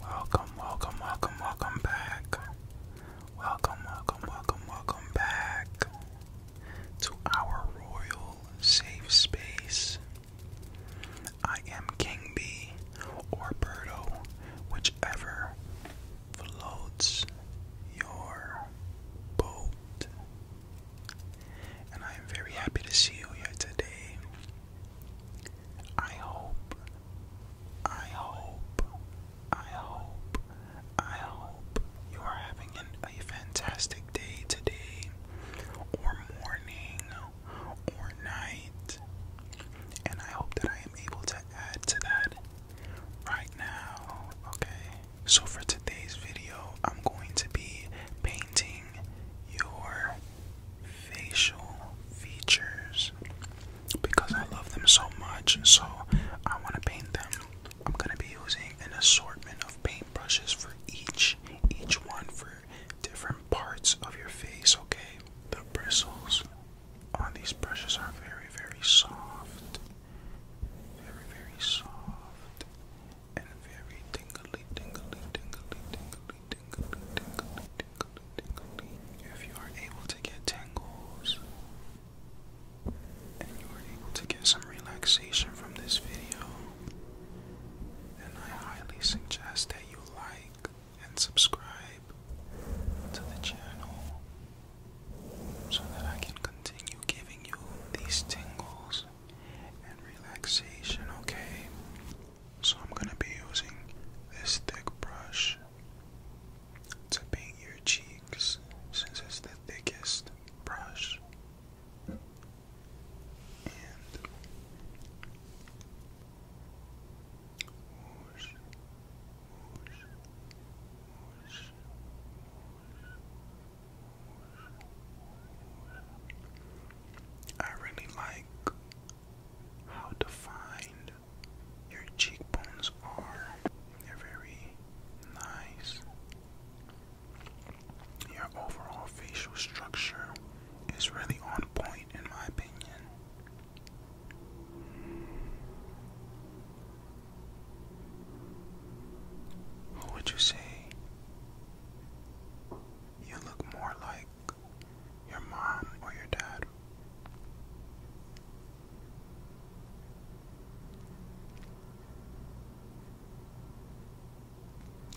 Welcome, welcome, welcome, welcome back. Welcome, welcome, welcome, welcome back to our royal safe space. I am King B or Birdo, whichever floats your boat and I am very happy to see you here today. I hope, I hope, I hope, I hope you are having an, a fantastic day today, or morning, or night. And I hope that I am able to add to that right now, okay? So, for today's video, I'm going to be painting your facial features because I love them so much. and So I want to paint them. I'm going to be using an assortment of paintbrushes for each, each one for different parts of your face, okay? The bristles on these brushes are very, very soft. Very, very soft and If you are able to get tingles and you are able to get some relaxation from this video, then I highly suggest that you like and subscribe to the channel so that I can continue giving you these tingles and relaxation, okay? So I'm going to be using this thick brush to paint your cheeks since it's the thickest brush. I really like how defined your cheekbones are. They're very nice. Your overall facial structure is really on point, in my opinion. What would you say you look more like your mom or your dad.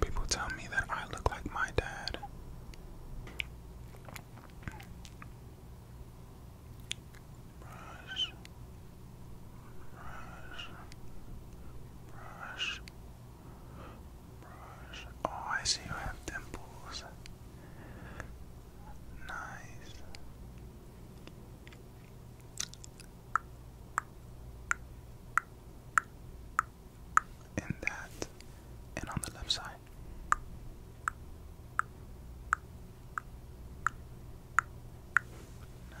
People tell me that I look like my dad. Brush, Oh, I see you have dimples. Nice. And that, and on the left side. Nice.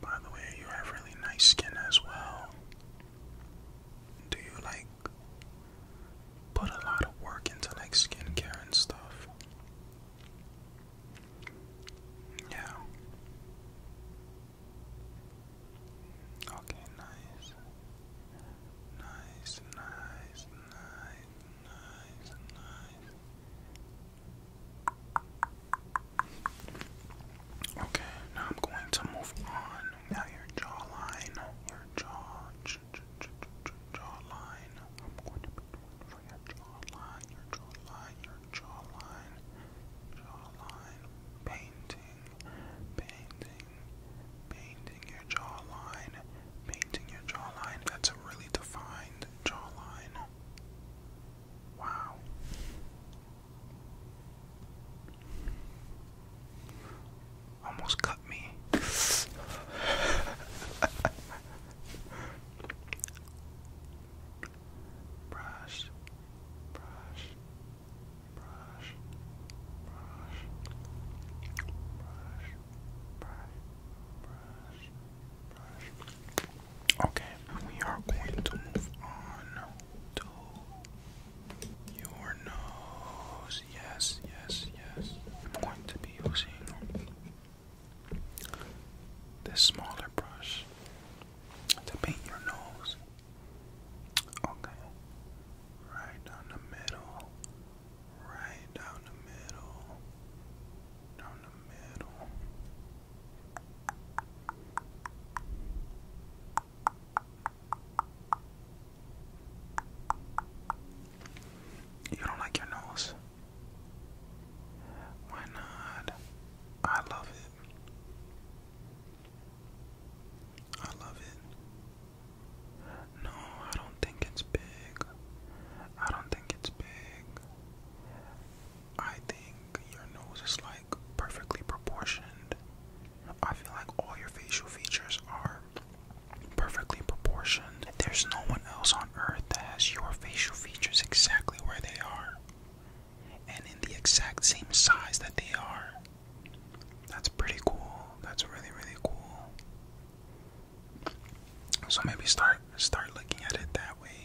by the way, you have really nice skin as well. Do you like put a lot of work into like skincare and stuff? Yeah. Okay, nice. Nice, nice, nice, nice, nice. Okay, now I'm going to move on. Now your jawline, your jaw, j jawline. I'm going to be doing for your jawline, your jawline, your jawline, jawline. Painting, painting, painting your jawline, painting your jawline. That's a really defined jawline. Wow. Almost cut me. brush, brush, brush, brush, brush, brush, brush. Okay, we are going to move on to your nose. Yes, yes, yes. I'm going to be using this smaller brush to paint your nose. Okay, right down the middle, right down the middle, you don't like your nose? Why not? I love it. I love it. No, I don't think it's big. I don't think it's big. I think your nose is like perfectly proportioned. I feel like all your facial features are perfectly proportioned. There's no one else on earth that has your facial features exactly where they are and in the exact same size that they are. That's pretty cool. That's really really cool. So maybe start start looking at it that way.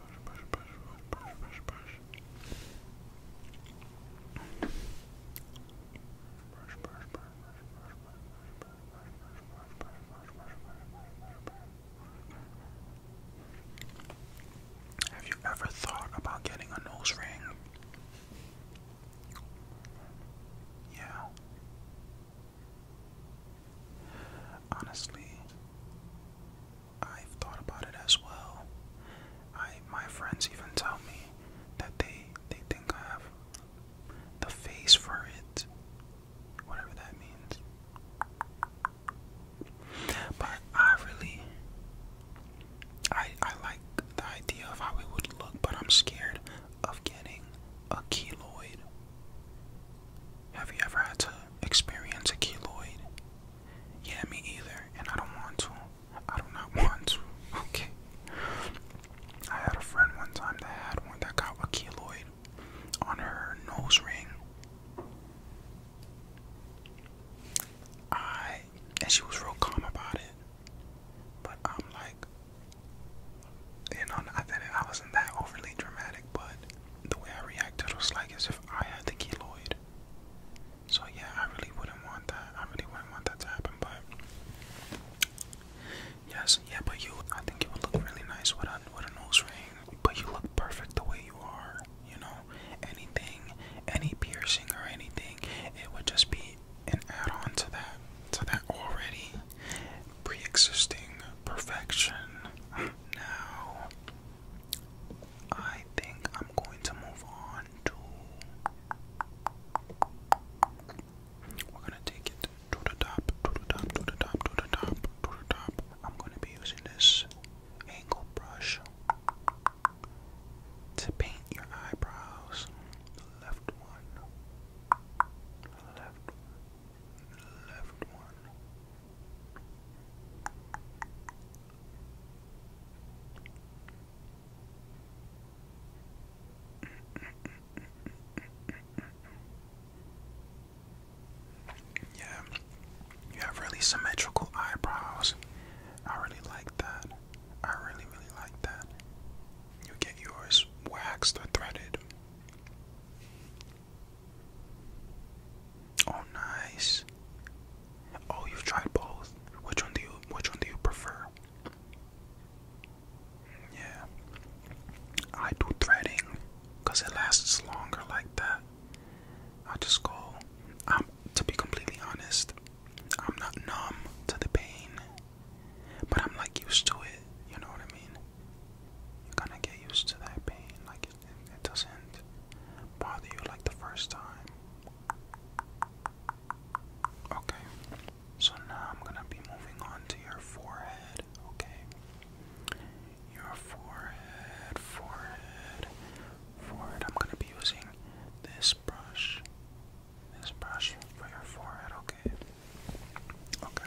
have you ever thought about getting a nose ring? Yeah. Honestly, I've thought about it as well. I my friends even tell me that they they think I have the face for it, whatever that means. But I really I I like the idea of how it would look, but I'm scared of getting a keloid. Have you ever had to experience a keloid? Yeah, me either, and I don't want to. I do not want to. Okay. I had a friend one time that had one that got a keloid on her nose ring. I and she was real calm about it. But I'm like you know, I I wasn't that overly dramatic, but the way I reacted was like as if I had the keloid. So yeah, I really wouldn't want that. I really wouldn't want that to happen, but yes, yeah, but you I think it would look really nice with a with a nose ring. But you look perfect the way you are, you know. Anything, any piercing or anything, it would just be an add-on to that to that already pre-existing perfection. Now I think I'm going to move on to. We're gonna take it to the top, to the top, to the top, to the top, to the top. I'm gonna be using this angle brush to paint your eyebrows. The left one, the left one, yeah, you have really symmetrical eyebrows. I really like that. I really, really like that. You get yours waxed or threaded. Oh, nice. Oh, you've tried both. Which one do you which one do you prefer? Yeah. I do threading cuz it lasts longer like that. I just go I'm to be completely honest, I'm not numb to the pain, but I'm like used to it, you know what I mean? You're gonna get used to that pain, like it doesn't bother you like the first time. Okay, so now I'm gonna be moving on to your forehead, okay? Your forehead, forehead, forehead. I'm gonna be using this brush, this brush for your forehead, okay? Okay.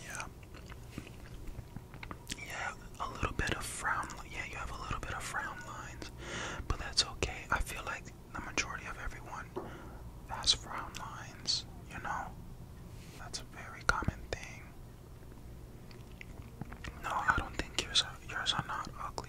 Yeah. Yeah, a little bit of frown. Yeah, you have a little bit of frown lines, but that's okay. I feel like the majority of everyone has frown lines, you know? That's a very common thing. No, I don't think yours are, yours are not ugly.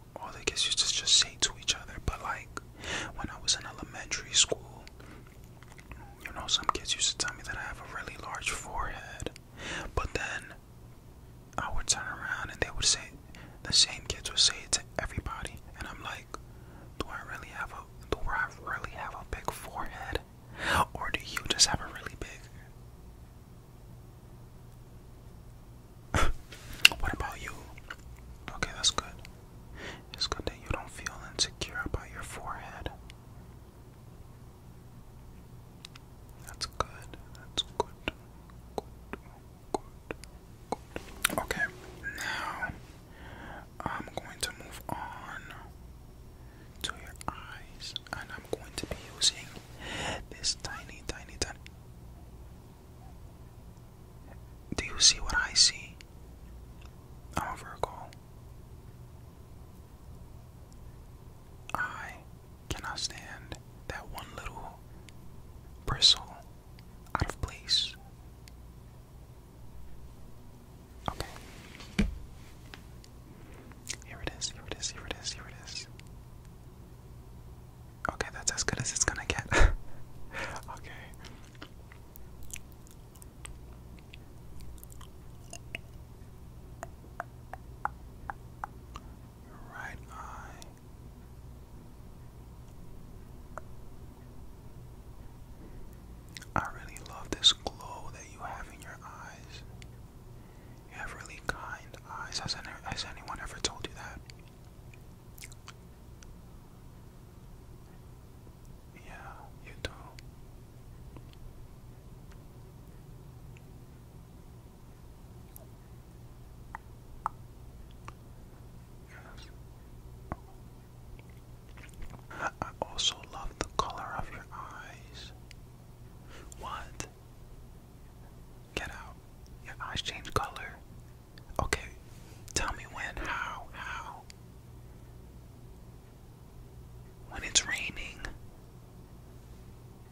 all the kids used to just say to each other. But like when I was in elementary school, you know, some kids used to tell me that I have a really large forehead. But then I would turn around and they would say the same kids would say it to everybody, and I'm like, do I really have a do I really have a big forehead, or do you just have a really big? what about you? Okay, that's good. It's good that you don't feel insecure about your forehead. That's good. That's good. Good. Good. Okay. Now I'm going to move on to your eyes and I'm going to be using this tiny tiny tiny do you see what I see? I'm a Virgo. I cannot stand that one little bristle out of place. Okay. Here it is, here it is, here it is, here it is. Okay, that's as good as it's gonna get. okay. right eye. I really love this glow that you have in your eyes. You have really kind eyes. has anyone ever told you that? Yeah, you do. Yes. I also love the color of your eyes. What? Get out. Your eyes change color. Okay. Tell me when, how, how. When it's raining.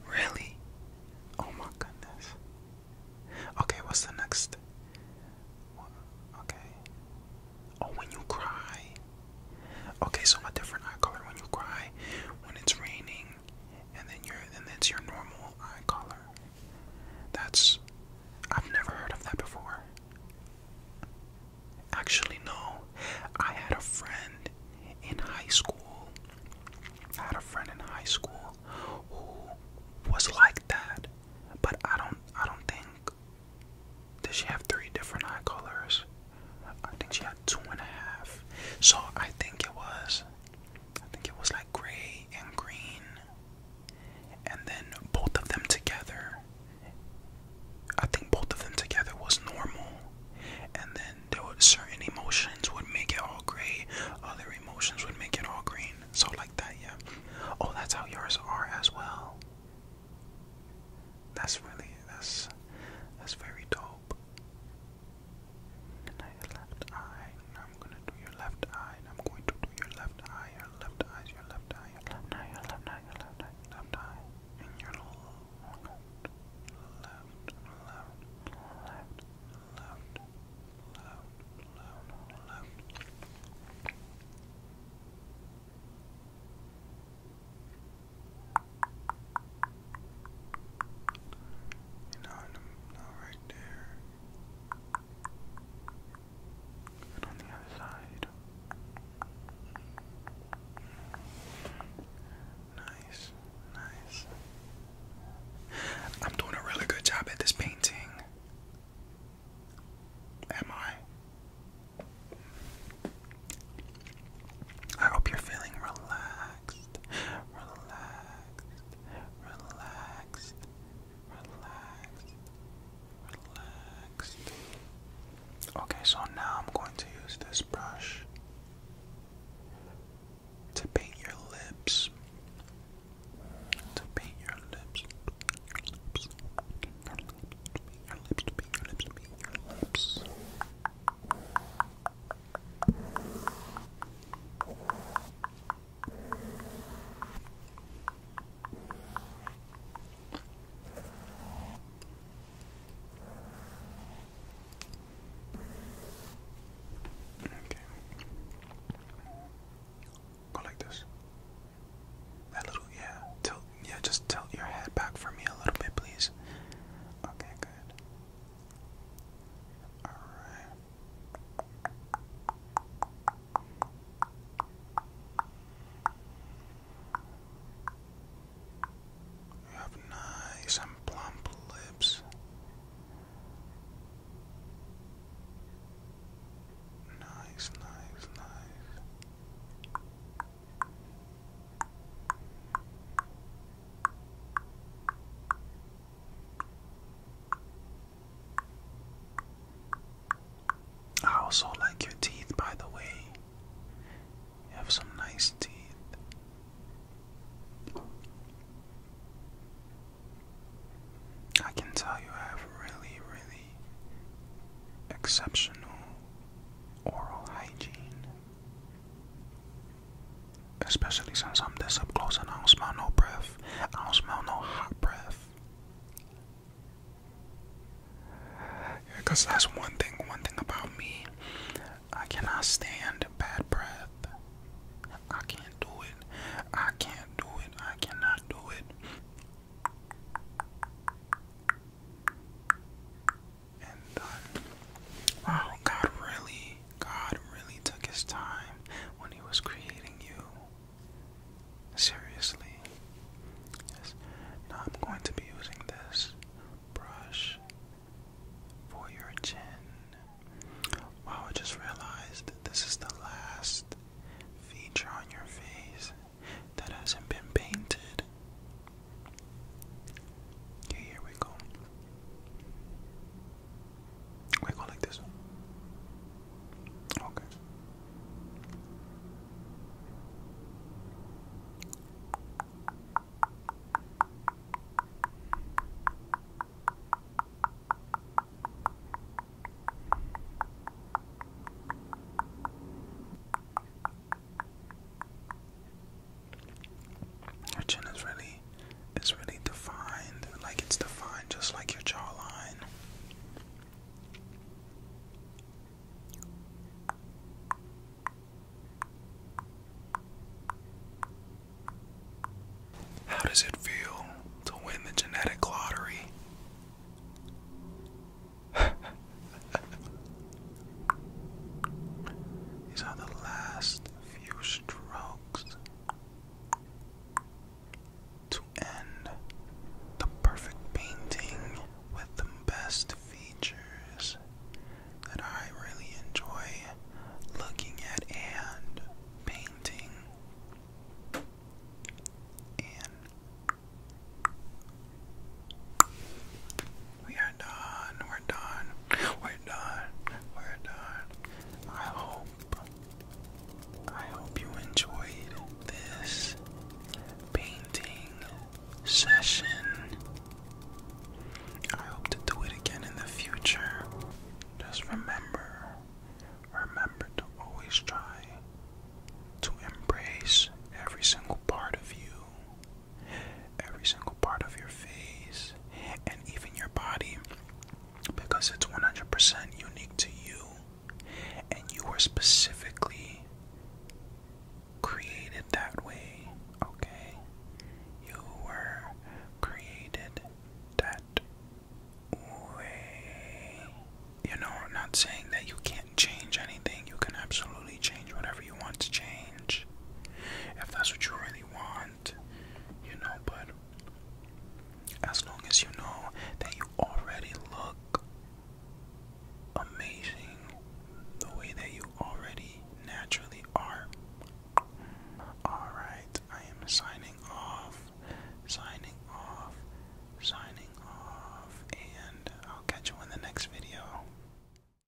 Really? Oh my goodness. Okay, what's the next? Okay. Oh, when you cry. Okay, so my different eye color when you cry, when it's raining, and then your and that's your normal eye color. That's. I've never heard of that before. Actually, no. I had a friend in high school. I had a friend in high school who was like that, but I don't. I don't think. Did she have three different eye colors? I think she had two and a half. So I think it was. I think it was like gray and green, and then both of them together. I think both of them together was normal, and then there were certain emotions would make it all gray, other emotions would make it all green. So like that, yeah. Oh, that's how yours are as well. That's really that's that's very dope hope. Now left eye. I'm gonna do your left eye. I'm going to do your left eye. Your left eye. Your left eye. Your Your left eye. Your left left eye. And your left, left, left, left, left, left, left, no, no, right there. And on the other side. Nice, nice. I'm doing a really good job at this painting. Am I? I hope you're feeling Relaxed relaxed, relaxed, relaxed. Okay, so now I'm going to use this brush to paint your lips. To paint your lips. Your lips. your lips. To paint your lips. To paint your lips. Okay. Go like this. That little yeah, tilt yeah, just tilt your head back for me a little bit, please. Okay, good. All right. You have nice and plump lips. Nice, nice, nice. I also like your teeth, by the way. You have some nice teeth. I can tell you have really, really exceptional oral hygiene. Especially since I'm this up close and I don't smell no breath. I don't smell no hot breath. cause that's one thing, one thing about me. I cannot stand bad breath. I can't do it. I can't do it. I cannot do it and done. Uh, wow, God really, God really took his time when he was creating you. Seriously. Yes. Now I'm going to be using this brush for your chin. Wow, I just realized this is the last feature on your face that hasn't been painted. Yeah, here we go. We go like this. Okay. Your chin is really is really defined, like it's defined just like your jawline. How does it feel to win the genetic lottery? These are the last few strokes to end the perfect painting with the best features that I really enjoy looking at and painting. We are done. We're done. We're done. We're done. I hope. I hope you enjoyed this painting session. I hope to do it again in the future. Just remember, remember to always try to embrace every single part of you every single part of your face, and even your body because it's 100% unique to you and you were specifically created that way, okay? You were created that way. You know, I'm not saying that you can't change anything, you can absolutely change whatever you want to change if that's what you really want, you know. But as long as you know that you already look amazing the way that you already naturally are. Alright, I am signing off, signing off, signing off, and I'll catch you in the next video.